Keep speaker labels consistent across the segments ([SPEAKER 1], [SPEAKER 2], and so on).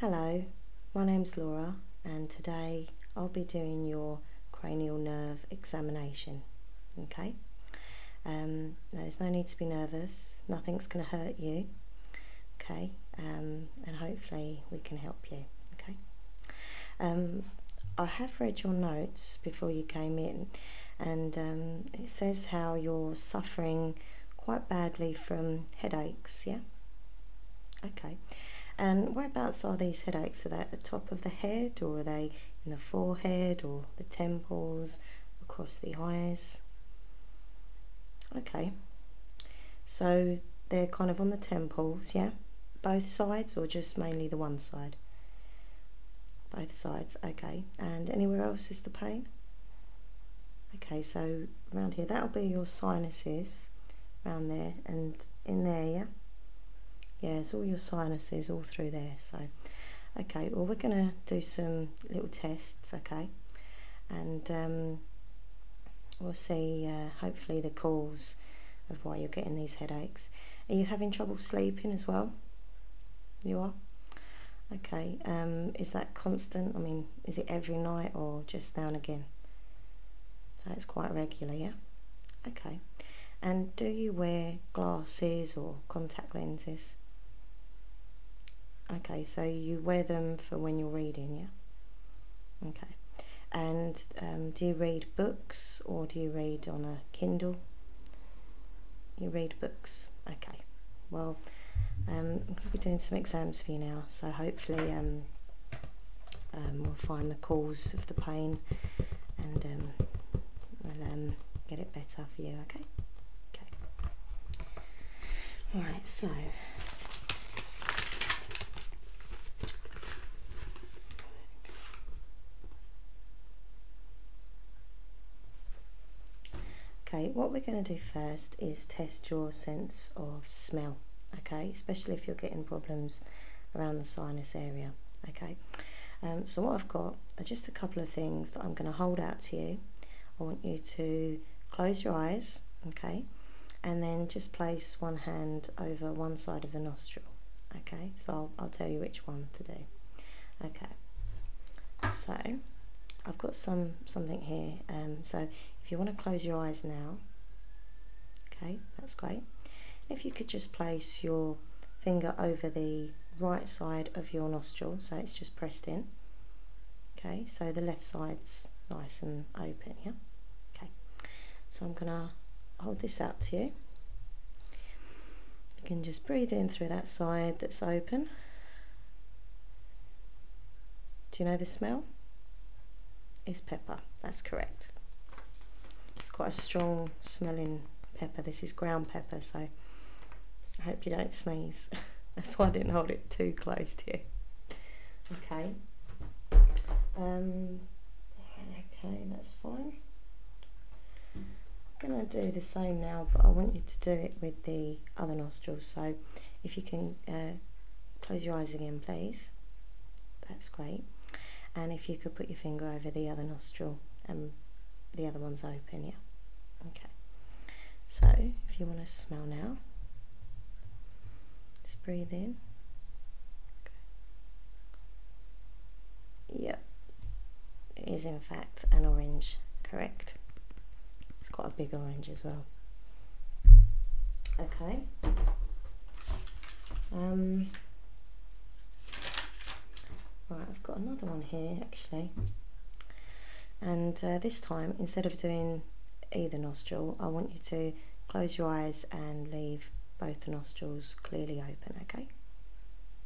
[SPEAKER 1] Hello, my name's Laura and today I'll be doing your cranial nerve examination, okay? Um, there's no need to be nervous, nothing's going to hurt you, okay? Um, and hopefully we can help you, okay? Um, I have read your notes before you came in and it says how you're suffering quite badly from headaches, yeah? Okay. And whereabouts are these headaches? Are they at the top of the head or are they in the forehead or the temples, across the eyes? Okay. So they're kind of on the temples, yeah? Both sides or just mainly the one side? Both sides, okay. And anywhere else is the pain? Okay, so around here, that'll be your sinuses around there and in there, yeah? Yeah, it's all your sinuses all through there. So, okay, well, we're going to do some little tests, okay? And um, we'll see, uh, hopefully, the cause of why you're getting these headaches. Are you having trouble sleeping as well? You are? Okay, um, is that constant? I mean, is it every night or just now and again? So it's quite regular, yeah? Okay. And do you wear glasses or contact lenses? Okay, so you wear them for when you're reading, yeah? Okay. And um, do you read books or do you read on a Kindle? You read books. Okay. Well, I'm going to be doing some exams for you now, so hopefully um, um we'll find the cause of the pain and um, um get it better for you, okay? Okay. Alright, so Okay, what we're going to do first is test your sense of smell, okay, especially if you're getting problems around the sinus area, okay. Um, so what I've got are just a couple of things that I'm going to hold out to you. I want you to close your eyes, okay, and then just place one hand over one side of the nostril, okay. So I'll, I'll tell you which one to do. Okay, so I've got some something here. Um, so if you want to close your eyes now, okay, that's great. If you could just place your finger over the right side of your nostril, so it's just pressed in. Okay, so the left side's nice and open, yeah? Okay, so I'm gonna hold this out to you. You can just breathe in through that side that's open do you know the smell? It's pepper. That's correct. It's quite a strong smelling pepper. This is ground pepper, so I hope you don't sneeze. That's why I didn't hold it too close here. Okay. Um, okay, that's fine. I'm going to do the same now, but I want you to do it with the other nostrils. So if you can uh, close your eyes again, please. That's great. And if you could put your finger over the other nostril and um, the other one's open, yeah. Okay. So if you want to smell now, just breathe in. Okay. Yep. It is in fact an orange, correct? It's quite a big orange as well. Okay. Um, right, I've got another one here actually. And uh, this time, instead of doing either nostril, I want you to close your eyes and leave both nostrils clearly open, okay?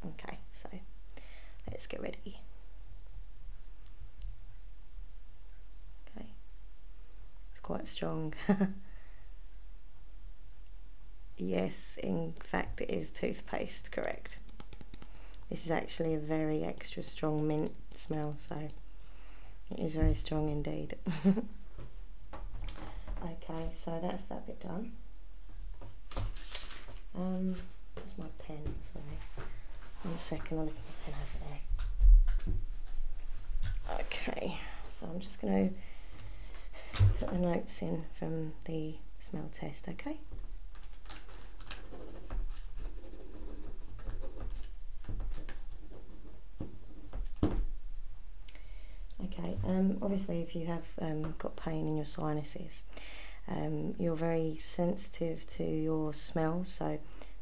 [SPEAKER 1] Okay, so let's get ready. Okay, it's quite strong. yes, in fact, it is toothpaste, correct. This is actually a very extra strong mint smell, so it is very strong indeed. okay, so that's that bit done. Um, Where's my pen? Sorry. One second, I'll lift my pen over there. Okay, so I'm just going to put the notes in from the smell test, okay? Okay, um, obviously if you have um, got pain in your sinuses, um, you're very sensitive to your smell, so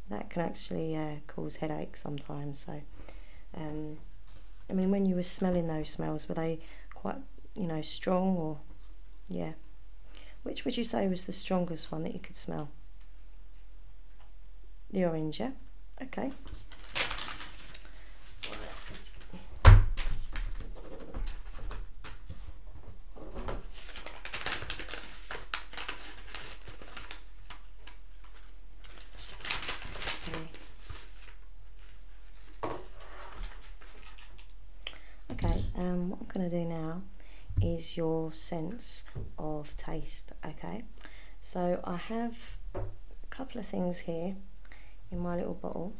[SPEAKER 1] that can actually uh, cause headaches sometimes. So, um, I mean, when you were smelling those smells, were they quite, you know, strong or, yeah? Which would you say was the strongest one that you could smell? The orange, yeah? Okay. Okay, um, what I'm going to do now is your sense of taste, okay? So I have a couple of things here in my little bottle.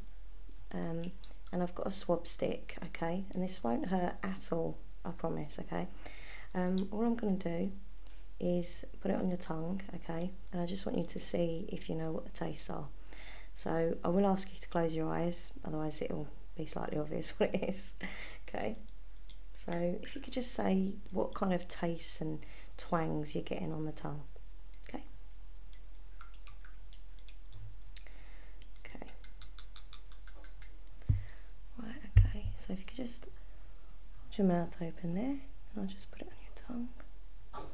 [SPEAKER 1] Um, and I've got a swab stick, okay, and this won't hurt at all, I promise, okay. Um, all I'm going to do is put it on your tongue, okay, and I just want you to see if you know what the tastes are. So I will ask you to close your eyes, otherwise it will be slightly obvious what it is, okay. So if you could just say what kind of tastes and twangs you're getting on the tongue. Okay. Okay, Right, okay, so if you could just hold your mouth open there, and I'll just put it on your tongue. Okay.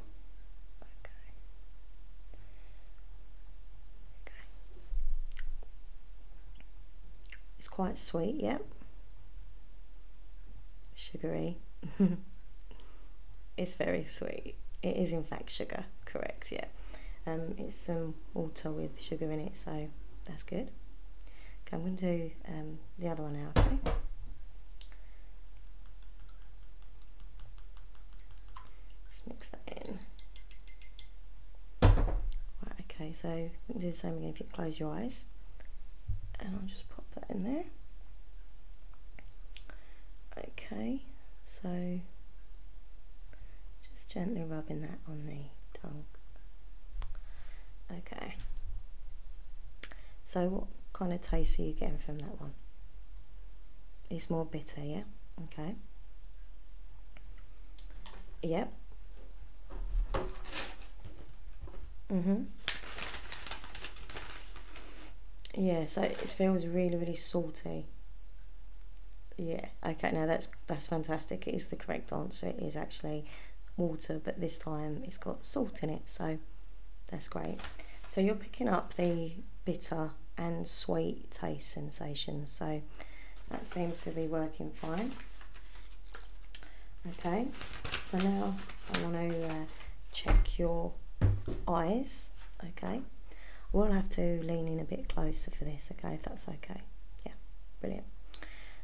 [SPEAKER 1] Okay. It's quite sweet, yep. Yeah? Sugary. it's very sweet. It is, in fact, sugar, correct, yeah. Um, it's some water with sugar in it, so that's good. Okay, I'm going to do um, the other one now, okay? Just mix that in. Right, okay, so do the same again if you close your eyes. And I'll just pop that in there. Okay, so just gently rubbing that on the tongue. Okay. So what kind of taste are you getting from that one? It's more bitter, yeah? Okay. Yep. Mm-hmm. Yeah, so it feels really, really salty. Yeah, okay, now that's that's fantastic. It is the correct answer. It is actually water, but this time it's got salt in it, so that's great. So you're picking up the bitter and sweet taste sensations. so that seems to be working fine. Okay, so now I want to uh, check your eyes, okay? We'll have to lean in a bit closer for this, okay, if that's okay. Yeah, brilliant.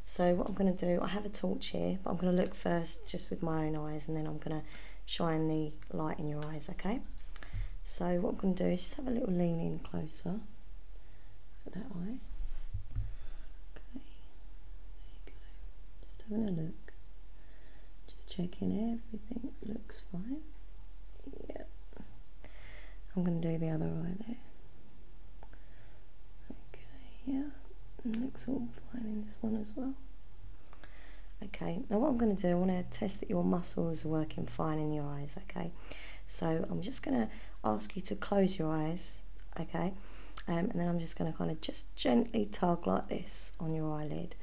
[SPEAKER 1] So what I'm going to do, I have a torch here, but I'm going to look first just with my own eyes and then I'm going to shine the light in your eyes, okay? So what I'm going to do is just have a little lean in closer that eye. Okay, there you go. Just having a look. Just checking everything looks fine. Yeah. I'm going to do the other eye there. Okay, yeah, looks all fine in this one as well. Okay, now what I'm going to do, I want to test that your muscles are working fine in your eyes, okay? So I'm just going to ask you to close your eyes, okay? Um, and then I'm just going to kind of just gently tug like this on your eyelid.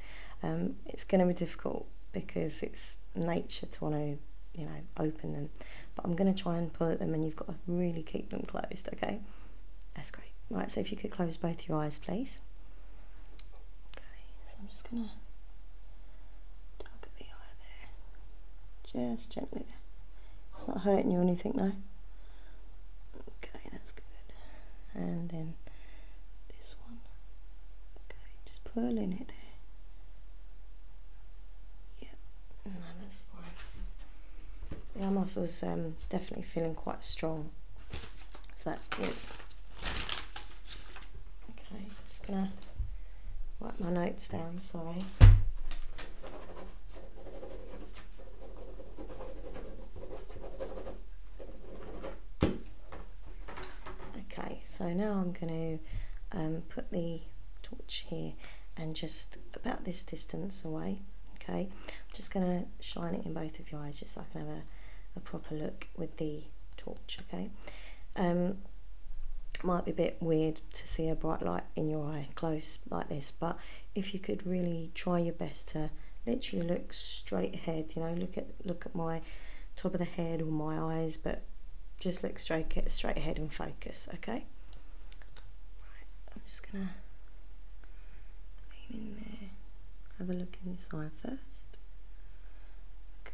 [SPEAKER 1] Um, it's going to be difficult because it's nature to want to, you know, open them. But I'm going to try and pull at them and you've got to really keep them closed, okay? That's great. Right, so if you could close both your eyes, please. Okay, so I'm just going to tug at the eye there. Just gently It's not hurting you or anything, no? Okay, that's good. And then this one just pulling it there. Yep, no, muscle's um, definitely feeling quite strong, so that's good. Okay, just gonna wipe my notes down, sorry. Okay, so now I'm going to um, put the torch here and just about this distance away. Okay, I'm just going to shine it in both of your eyes just so I can have a, a proper look with the torch. Okay, um, might be a bit weird to see a bright light in your eye close like this, but if you could really try your best to literally look straight ahead, you know, look at look at my top of the head or my eyes, but just look straight, straight ahead and focus, okay? I'm just gonna lean in there, have a look in this eye first. Okay,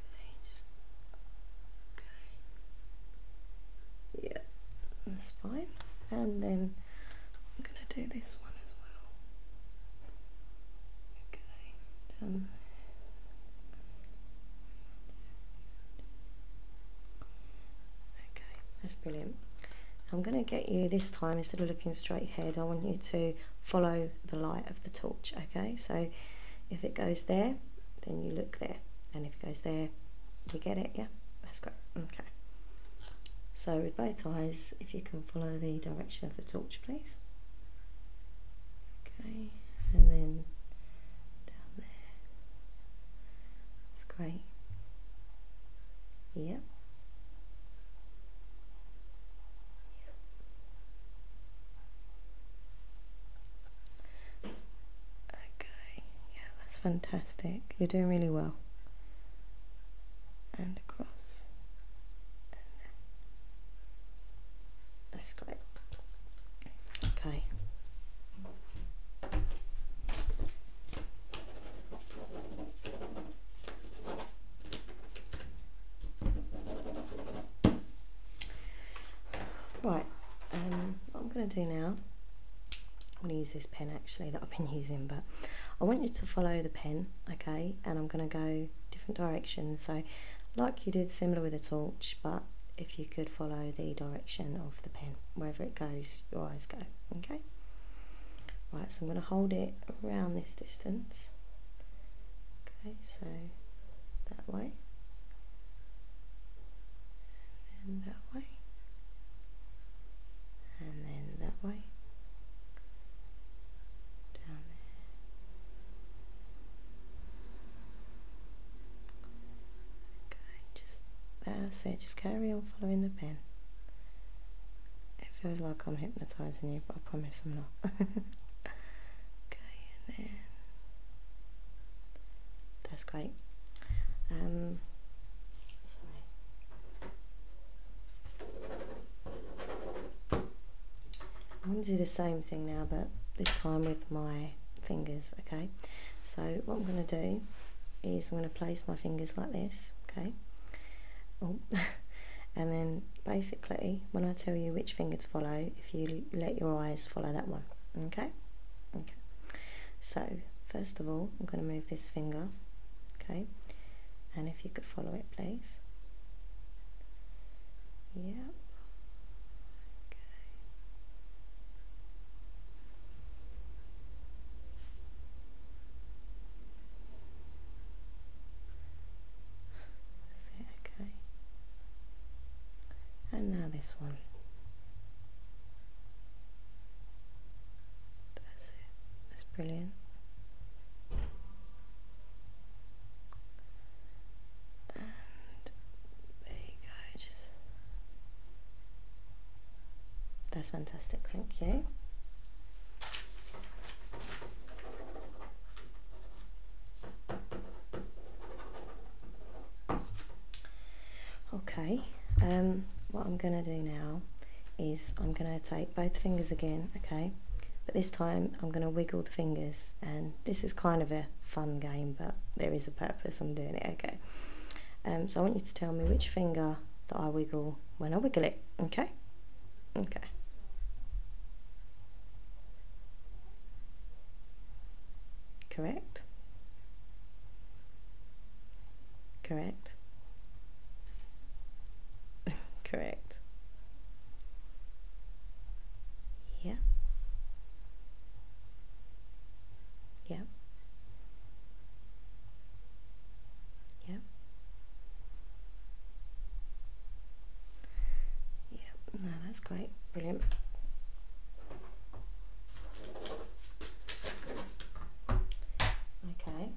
[SPEAKER 1] Yeah, that's fine. And then I'm gonna do this one as well. Okay okay that's brilliant I'm going to get you this time instead of looking straight ahead I want you to follow the light of the torch okay so if it goes there then you look there and if it goes there you get it yeah that's great okay so with both eyes if you can follow the direction of the torch please okay and then down there that's yep Okay, yeah, that's fantastic. You're doing really well. And across. That's great. Okay. Right, um, I'm going to do now, I'm going to use this pen actually that I've been using, but I want you to follow the pen, okay, and I'm going to go different directions. So like you did similar with a torch, but if you could follow the direction of the pen, wherever it goes, your eyes go, okay? Right, so I'm going to hold it around this distance. Okay, so that way. And that way. And then that way. Down there. Okay, just that's it, just carry on following the pen. It feels like I'm hypnotising you, but I promise I'm not. okay, and then that's great. Um, I'm going to do the same thing now, but this time with my fingers, okay? So what I'm going to do is I'm going to place my fingers like this, okay? Oh. and then basically, when I tell you which finger to follow, if you let your eyes follow that one, okay? Okay. So first of all, I'm going to move this finger, okay? And if you could follow it, please. Yep. Okay. And now this one. That's it. That's brilliant there you go, just that's fantastic, thank you. Okay, um, what I'm going to do now is I'm going to take both fingers again, okay? But this time I'm going to wiggle the fingers and this is kind of a fun game, but there is a purpose. I'm doing it, okay. Um, so I want you to tell me which finger that I wiggle when I wiggle it, okay? Okay. Correct? Correct? Correct. Yeah. Yeah. Yeah. Yeah, no, that's great. Brilliant. Okay.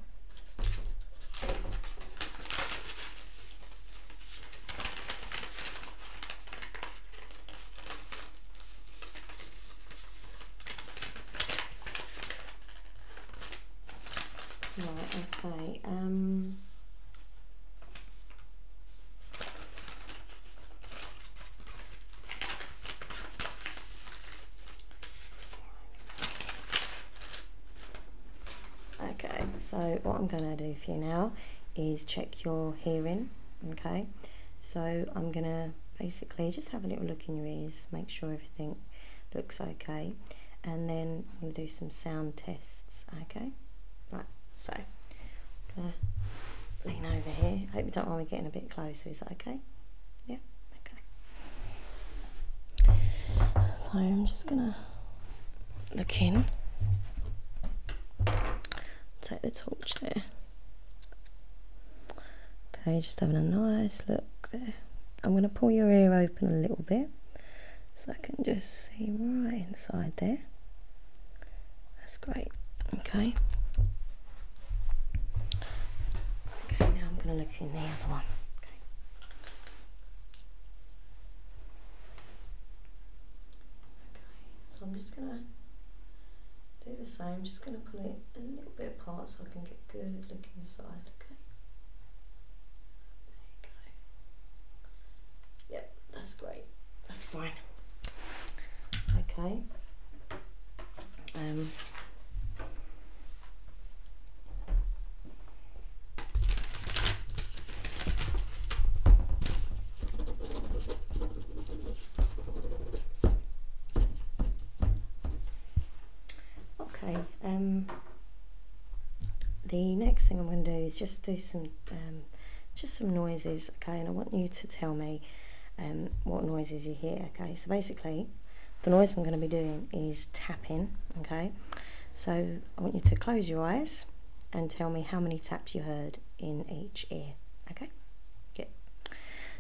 [SPEAKER 1] Right, okay. Um, Okay, so what I'm going to do for you now is check your hearing, okay? So I'm going to basically just have a little look in your ears, make sure everything looks okay, and then I'm going to do some sound tests, okay? so uh, lean over here. I hope you don't mind me getting a bit closer, is that okay? Yeah, okay. So I'm just going to the king. Take the torch there. Okay, just having a nice look there. I'm going to pull your ear open a little bit so I can just see right inside there. That's great. Okay. Okay, now I'm going to look in the other one. Okay. Okay, so I'm just gonna do the same, just gonna pull it a little bit apart so I can get a good look inside, okay? There you go. Yep, that's great. That's fine. Okay. Um, Okay, um, the next thing I'm going to do is just do some, um, just some noises, okay, and I want you to tell me um, what noises you hear, okay, so basically the noise I'm going to be doing is tapping, okay, so I want you to close your eyes and tell me how many taps you heard in each ear. Okay? Good.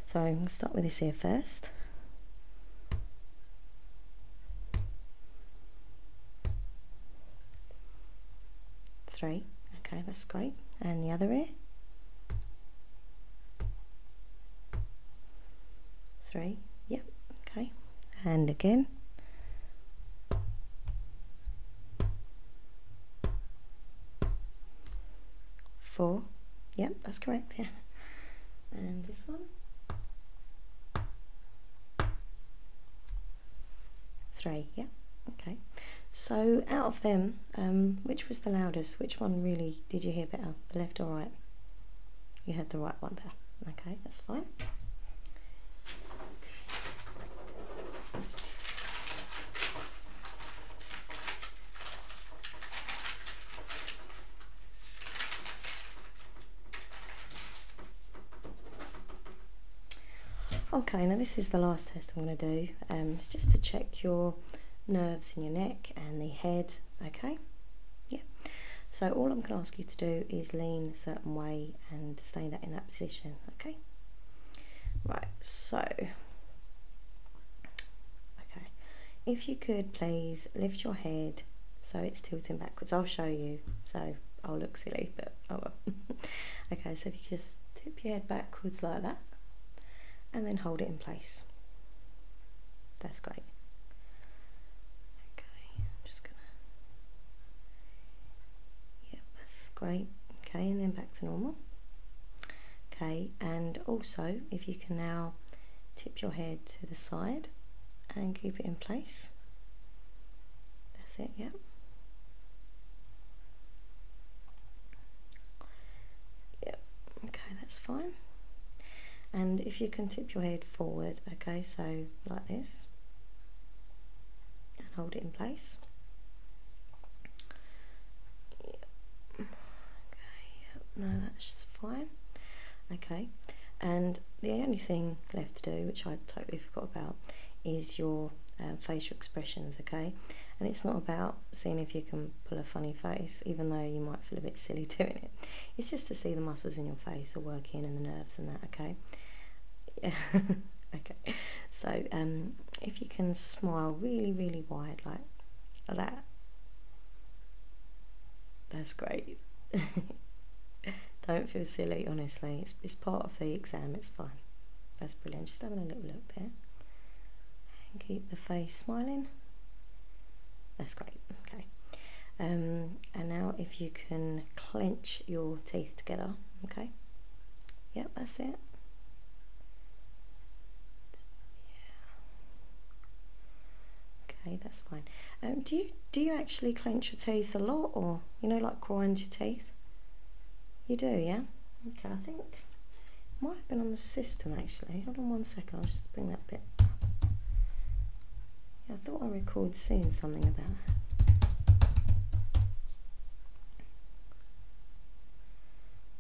[SPEAKER 1] So I'm going to start with this ear first. Three. Okay, that's great. And the other ear? Three. Yep. Okay. And again. Four. Yep, that's correct, yeah. And this one. Three, yeah, okay. So out of them, um, which was the loudest? Which one really did you hear better, left or right? You heard the right one better. Okay, that's fine. Okay, now this is the last test I'm going to do. Um, it's just to check your nerves in your neck and the head, okay? Yeah. So all I'm going to ask you to do is lean a certain way and stay that in that position okay right so okay if you could please lift your head so it's tilting backwards I'll show you so I'll look silly but oh okay so if you just tip your head backwards like that and then hold it in place that's great okay just gonna, yep, that's great. Okay, and then back to normal. Okay, and also if you can now tip your head to the side and keep it in place. That's it, yeah. Yep, okay, that's fine. And if you can tip your head forward, okay, so like this and hold it in place. Okay, no, that's fine. Okay, and the only thing left to do, which I totally forgot about, is your uh, facial expressions, okay? And it's not about seeing if you can pull a funny face, even though you might feel a bit silly doing it. It's just to see the muscles in your face are working and the nerves and that, okay? Yeah. okay. So um, if you can smile really, really wide like that, that's great. Don't feel silly, honestly. It's, it's part of the exam, it's fine. That's brilliant. Just having a little look there. And keep the face smiling. That's great. Okay. Um, and now, if you can clench your teeth together, okay? Yep, that's it. okay that's fine um, do you do you actually clench your teeth a lot or you know like grind your teeth you do yeah okay I think might have been on the system actually hold on one second I'll just bring that bit up I thought I recalled seeing something about her.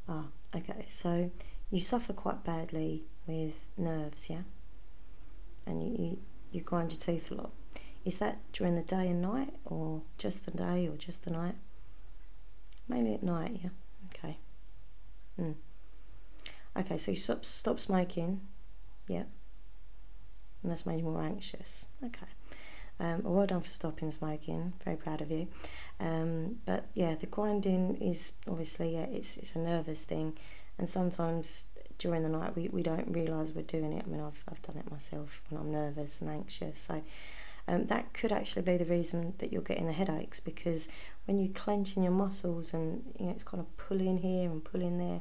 [SPEAKER 1] Ah, okay, so you suffer quite badly with nerves, yeah? And you, you, grind your teeth a lot. Is that during the day and night, or just the day, or just the night? Mainly at night, yeah? Okay. Mm. Okay, so you stop, stop smoking yeah. And that's made you more anxious. Okay. Um, well done for stopping smoking. Very proud of you. Um, but yeah, the grinding is obviously it's it's a nervous thing, and sometimes during the night we, we don't realise we're doing it. I mean, I've I've done it myself when I'm nervous and anxious. So um, that could actually be the reason that you're getting the headaches because when you're clenching your muscles and you know, it's kind of pulling here and pulling there.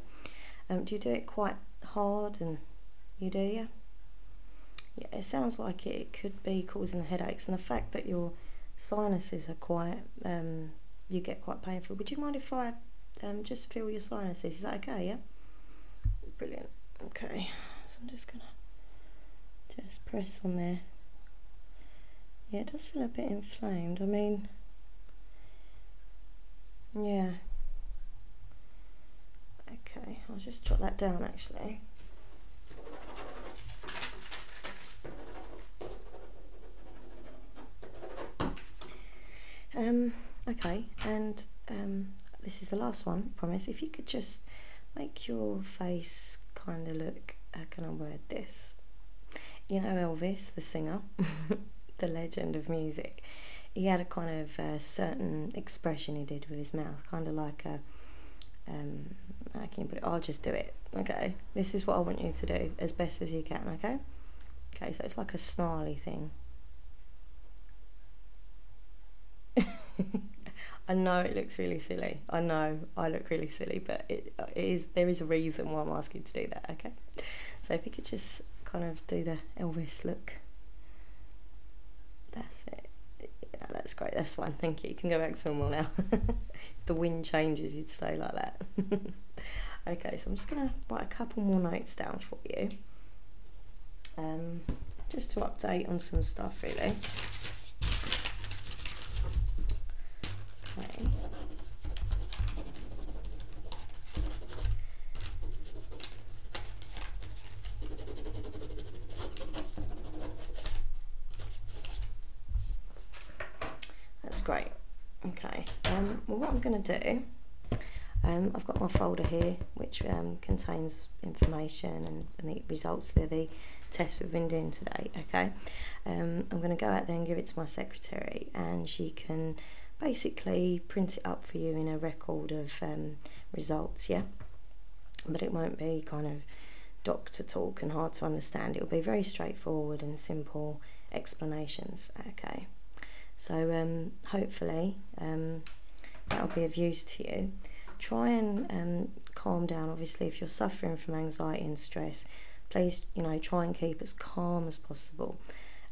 [SPEAKER 1] do you do it quite hard and you do, yeah? Yeah, it sounds like it, could be causing the headaches and the fact that your sinuses are quite, um, you get quite painful. Would you mind if I um, just feel your sinuses? Is that okay, yeah? Brilliant. Okay, so I'm just going to just press on there. Yeah, it does feel a bit inflamed. I mean, yeah. Okay, I'll just jot that down actually. Um, okay, and um, this is the last one, promise. If you could just make your face kind of look, how uh, can I word this? You know Elvis, the singer, the legend of music, he had a kind of uh, certain expression he did with his mouth, kind of like a. um, I can put it, I'll just do it, okay? This is what I want you to do as best as you can, okay? Okay, so it's like a snarly thing. I know it looks really silly. I know I look really silly, but it uh, is there is a reason why I'm asking you to do that. Okay, so if you could just kind of do the Elvis look. That's it. Yeah, that's great. That's fine. Thank you. You can go back to normal now. if the wind changes, you'd stay like that. okay, so I'm just going to write a couple more notes down for you. Um, just to update on some stuff, really. Okay. That's great. Okay, um, well what I'm going to do, um, I've got my folder here which um, contains information and, the results of the tests we've been doing today, okay? I'm going to go out there and give it to my secretary and she can basically print it up for you in a record of um, results, yeah? But it won't be kind of doctor talk and hard to understand. It'll be very straightforward and simple explanations, okay? So um, hopefully um, that'll be of use to you. Try and calm down. Obviously, if you're suffering from anxiety and stress, please, you know, try and keep as calm as possible.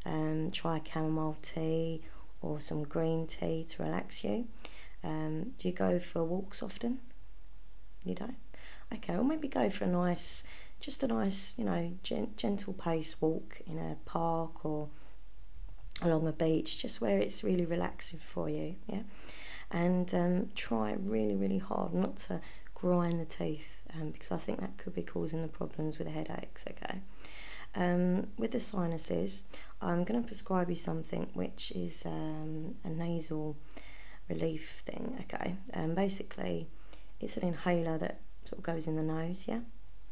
[SPEAKER 1] Um, try chamomile tea or some green tea to relax you. Um, do you go for walks often? You don't? Okay, well maybe go for a nice, just a nice, you know, gentle pace walk in a park or along a beach, just where it's really relaxing for you. Yeah, and um, try really, really hard not to grind the teeth because I think that could be causing the problems with the headaches. Okay, um, with the sinuses, I'm going to prescribe you something which is um, a nasal relief thing, okay? Um, basically, it's an inhaler that sort of goes in the nose, yeah?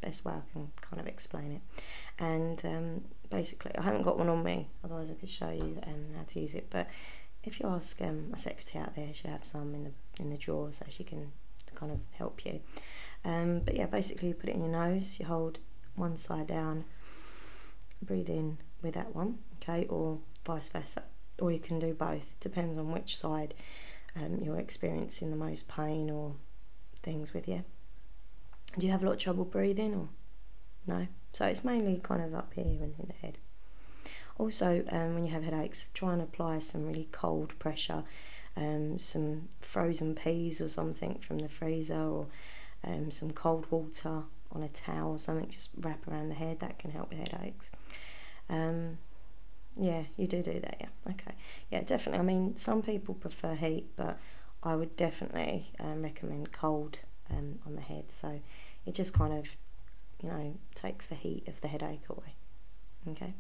[SPEAKER 1] Best way I can kind of explain it. And basically, I haven't got one on me, otherwise, I could show you how to use it. But if you ask my secretary out there, she has some in the, in the drawer so she can to kind of help you. Um, but yeah, basically you put it in your nose, you hold one side down, breathe in with that one, okay, or vice versa. Or you can do both, depends on which side um, you're experiencing the most pain or things with you. Do you have a lot of trouble breathing or no? So it's mainly kind of up here and in the head. Also, um, when you have headaches, try and apply some really cold pressure, um, some frozen peas or something from the freezer, or um, some cold water on a towel something, just wrap around the head, that can help with headaches. Um, yeah, you do do that, yeah, okay. Yeah, definitely. I mean, some people prefer heat, but I would definitely recommend cold on the head. So it just kind of, you know, takes the heat of the headache away. Okay,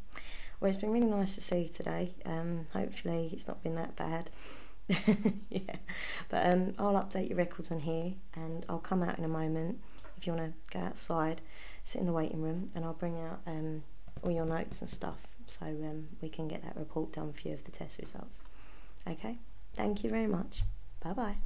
[SPEAKER 1] well, it's been really nice to see you today. Um, hopefully, it's not been that bad. yeah, but um, I'll update your records on here and I'll come out in a moment if you want to go outside, sit in the waiting room, and I'll bring out um, all your notes and stuff so we can get that report done for you of the test results. Okay, thank you very much. Bye bye.